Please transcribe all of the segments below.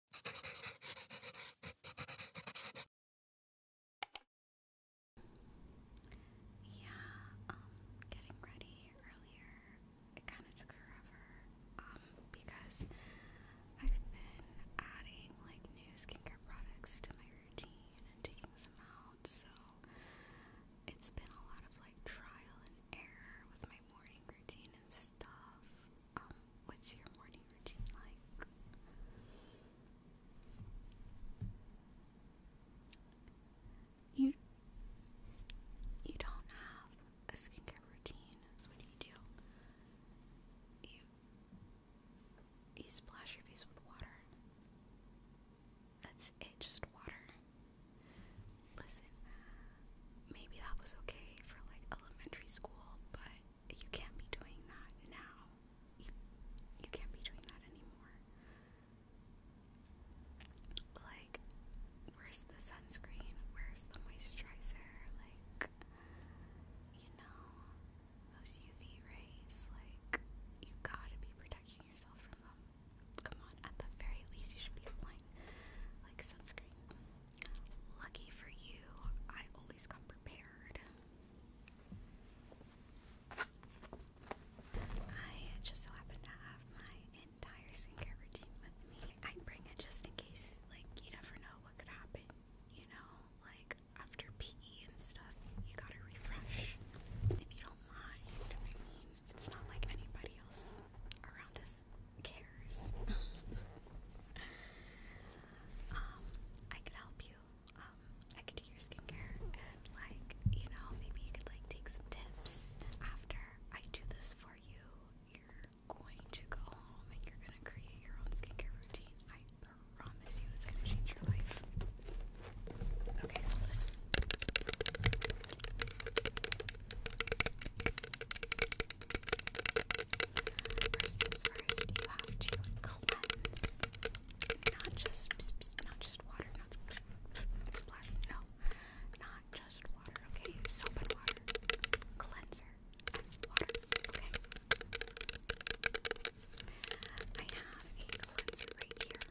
Yeah, um, getting ready earlier, it kind of took forever, um, because I've been adding, like, new skincare products to my routine and taking some out, so it's been a lot of, like, trial and error with my morning routine and stuff, um, what's your morning routine like? You you don't have a skincare routine, what do you do? You you splash your face with water. That's it, just water. Listen, maybe that was okay for like elementary school, but you can't be doing that now. You, you can't be doing that anymore. Like, where's the sunscreen? Where's the moisturizer? Like, you know, those UV rays, like, you gotta be protecting yourself from them. Come on, at the very least, you should be applying, like, sunscreen. Lucky for you, I always come prepared. I just so happen to have my entire skincare routine with me. I bring it just in case, like, you never know what could happen, you know? Like, after PE and stuff, you gotta refresh. If you don't mind, I mean, it's not like anybody else around us else cares. um, I could help you. Um, I could do your skincare and like, you know, maybe you could like take some tips after I do this for you. You're going to go home and you're gonna create your own skincare routine. I promise you it's gonna change your life. Okay, so listen. First things first, you have to cleanse. Not just not just water, not splash. No, not just water. Okay, soap and water, cleanser water. Okay. I have a cleanser right here.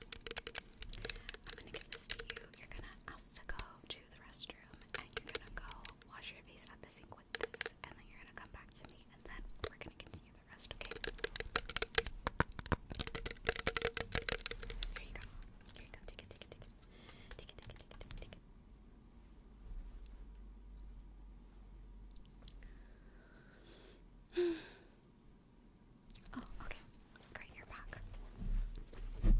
I'm gonna give this to you. You're gonna ask to go to the restroom and you're gonna go wash your face at the sink with this, and then you're gonna come back to me, and then we're gonna continue the rest, okay? Here you go. Here you go. take it. Take it, take it, take it, take it. Take it. oh, okay. Great, you're back. Okay.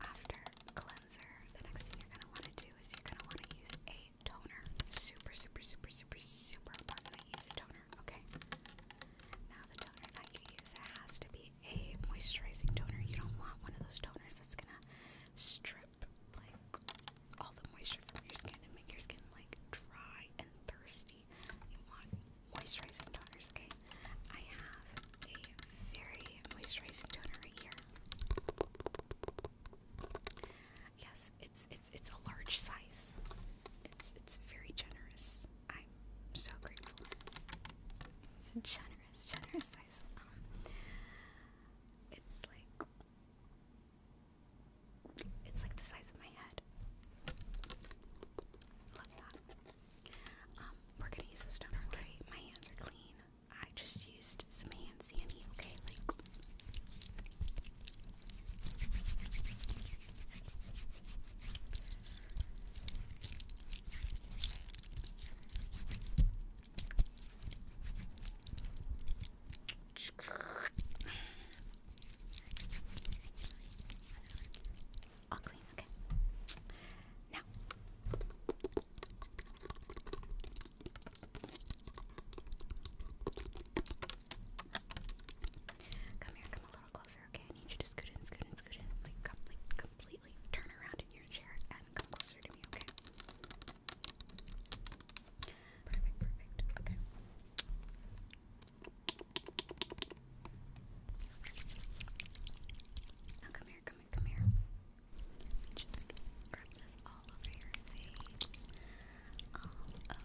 After cleanser, the next thing you're gonna want to do is you're gonna want to use a toner. Super, super, super, super, super important to use a toner. Okay. Now the toner that you use has to be a moisturizing toner. You don't want one of those toners that's gonna strip like all the moisture from your skin and make your skin like dry and thirsty you want moisturizing toners, okay? I have a very moisturizing toner right here. Yes, it's it's it's a large size. It's it's very generous. I'm so grateful. It's a generous, generous size. Um, it's like it's like the size of my head. Love that. Um, we're gonna use this toner, okay? My hands are clean. I just used some hand sandy, okay? All clean, okay. Now. Come here, come a little closer, I need you to scoot in, scoot in, scoot in. like completely turn around in your chair and come closer to me, okay? Perfect, perfect. Okay. Now come here, come here, come here. Just rub this all over your all over, all over.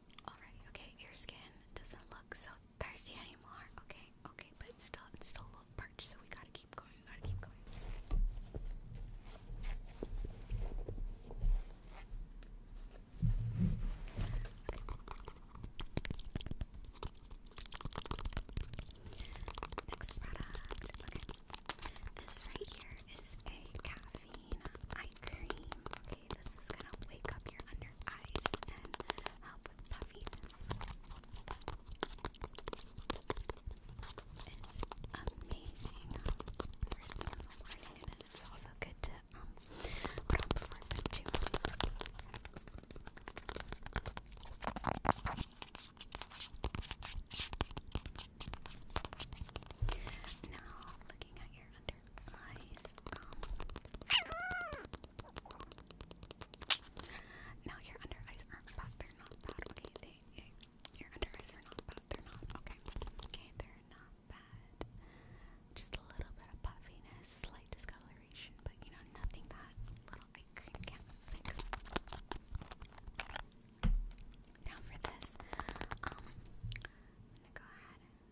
Alright, okay, your skin doesn't look so thirsty anymore. Okay, okay, but it's still it's still a little parched, so we gotta keep going, we gotta keep going. Next product, okay. This right here is a caffeine eye cream. Okay, this is gonna wake up your under eyes and help with puffiness. It's amazing. First thing in the morning, and it's also good to um, put on before bed too. Now, looking at your under eyes Now your under eyes aren't bad. Okay, your under eyes are not bad. They're not okay. Okay, they're not bad. Just a little bit of puffiness, slight discoloration, but you know nothing that little I can fix. Now for this, um, I'm gonna go ahead.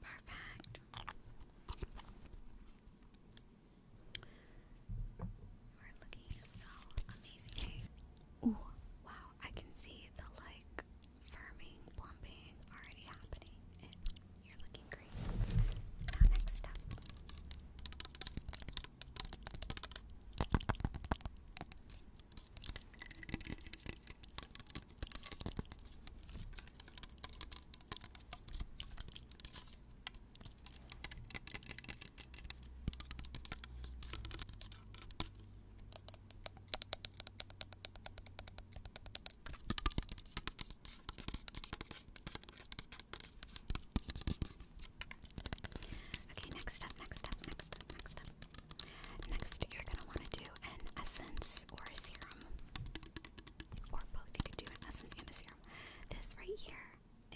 Perfect. You are looking so amazing. Ooh, wow, I can see the like firming, plumping already happening. And you're looking great. Now next up. Okay, next up, next up, next up, next up. Next, you're gonna want to do an essence or a serum. Or both, you could do an essence and a serum. This right here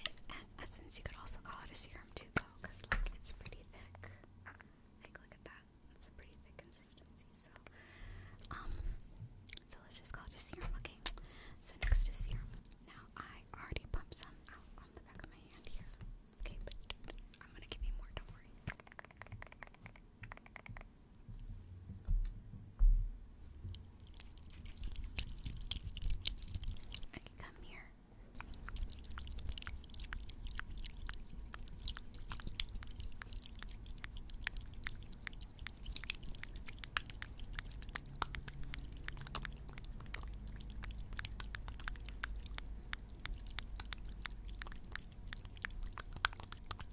is an essence. You could also call it a serum too, though, because like it's pretty thick. Like look at that. It's a pretty thick consistency. So, um, so let's just call it a serum. Okay. So next is serum. Now I already pumped some out on the back of my hand here. Okay, but I'm gonna give you more. Don't worry. I can come here.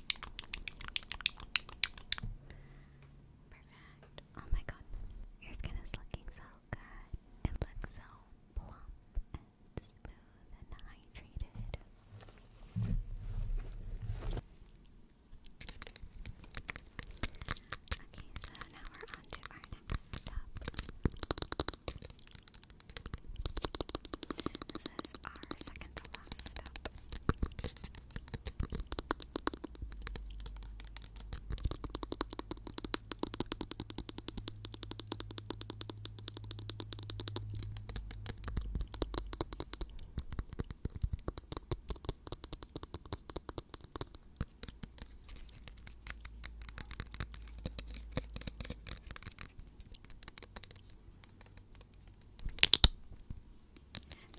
Perfect. Oh my god. Your skin is looking so good. It looks so plump and smooth and hydrated. Okay, so now we're on our next step. This is our second to last step.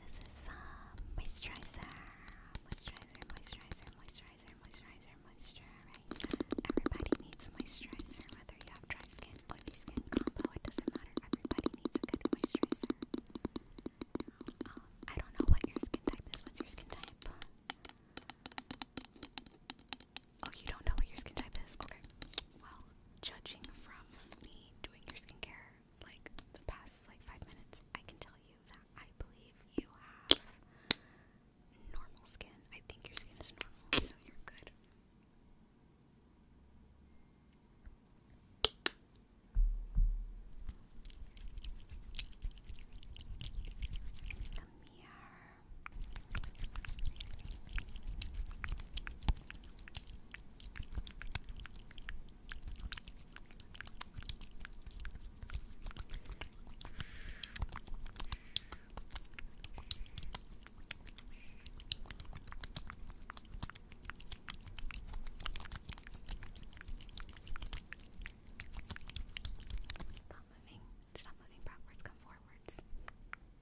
This is some uh, moisturizer, moisturizer, moisturizer, moisturizer, moisturizer, moisturizer. Everybody needs moisturizer, whether you have dry skin, oily skin, combo, it doesn't matter. Everybody needs a good moisturizer. Um, I don't know what your skin type is. What's your skin type? Oh, you don't know what your skin type is? Okay. Well, judging from me doing your skincare like the past like five minutes, I can tell you that I believe you have normal skin. I think your skin is normal, so you're good. Come here. Stop moving. Stop moving backwards, come forwards.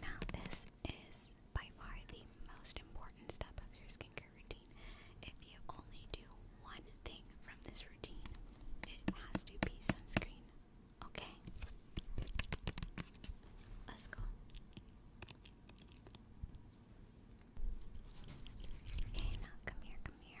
Now, this is by far the most important step of your skincare routine. If you only do one thing from this routine. It has to be sunscreen. Okay? Let's go. Okay, now come here, come here.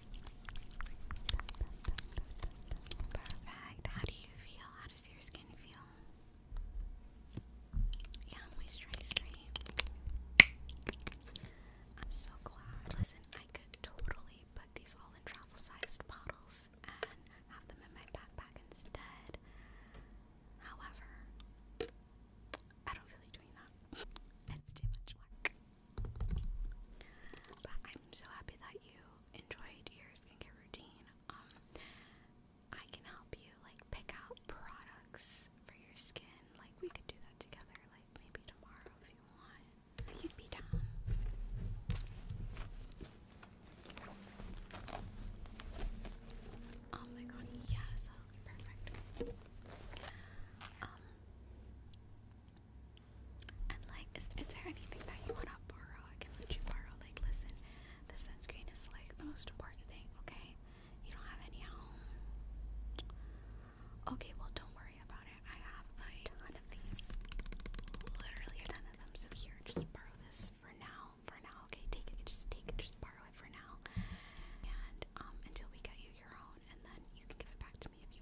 Perfect. How do you feel? How does your skin feel? Yeah, moisturize, right? I'm so glad. Listen, I could totally put these all in travel sized bottles and have them in my backpack instead. However, I don't feel doing that. It's too much work. But I'm so happy that you enjoyed your skincare routine. Um, I can help you like pick out products for your skin. Like we could do that together. Like maybe tomorrow if you want. You'd be down. Oh my god, yes, oh, perfect. Um, and like, is, is there anything that you wanna borrow? I can let you borrow. Like, listen, the sunscreen is like the most important thing, okay? You don't have any at home. Okay, well, don't worry about it. I have a ton of these. Literally a ton of them. So here, just borrow this for now. For now, okay? Take it, just take it, just borrow it for now. And um until we get you your own, and then you can give it back to me if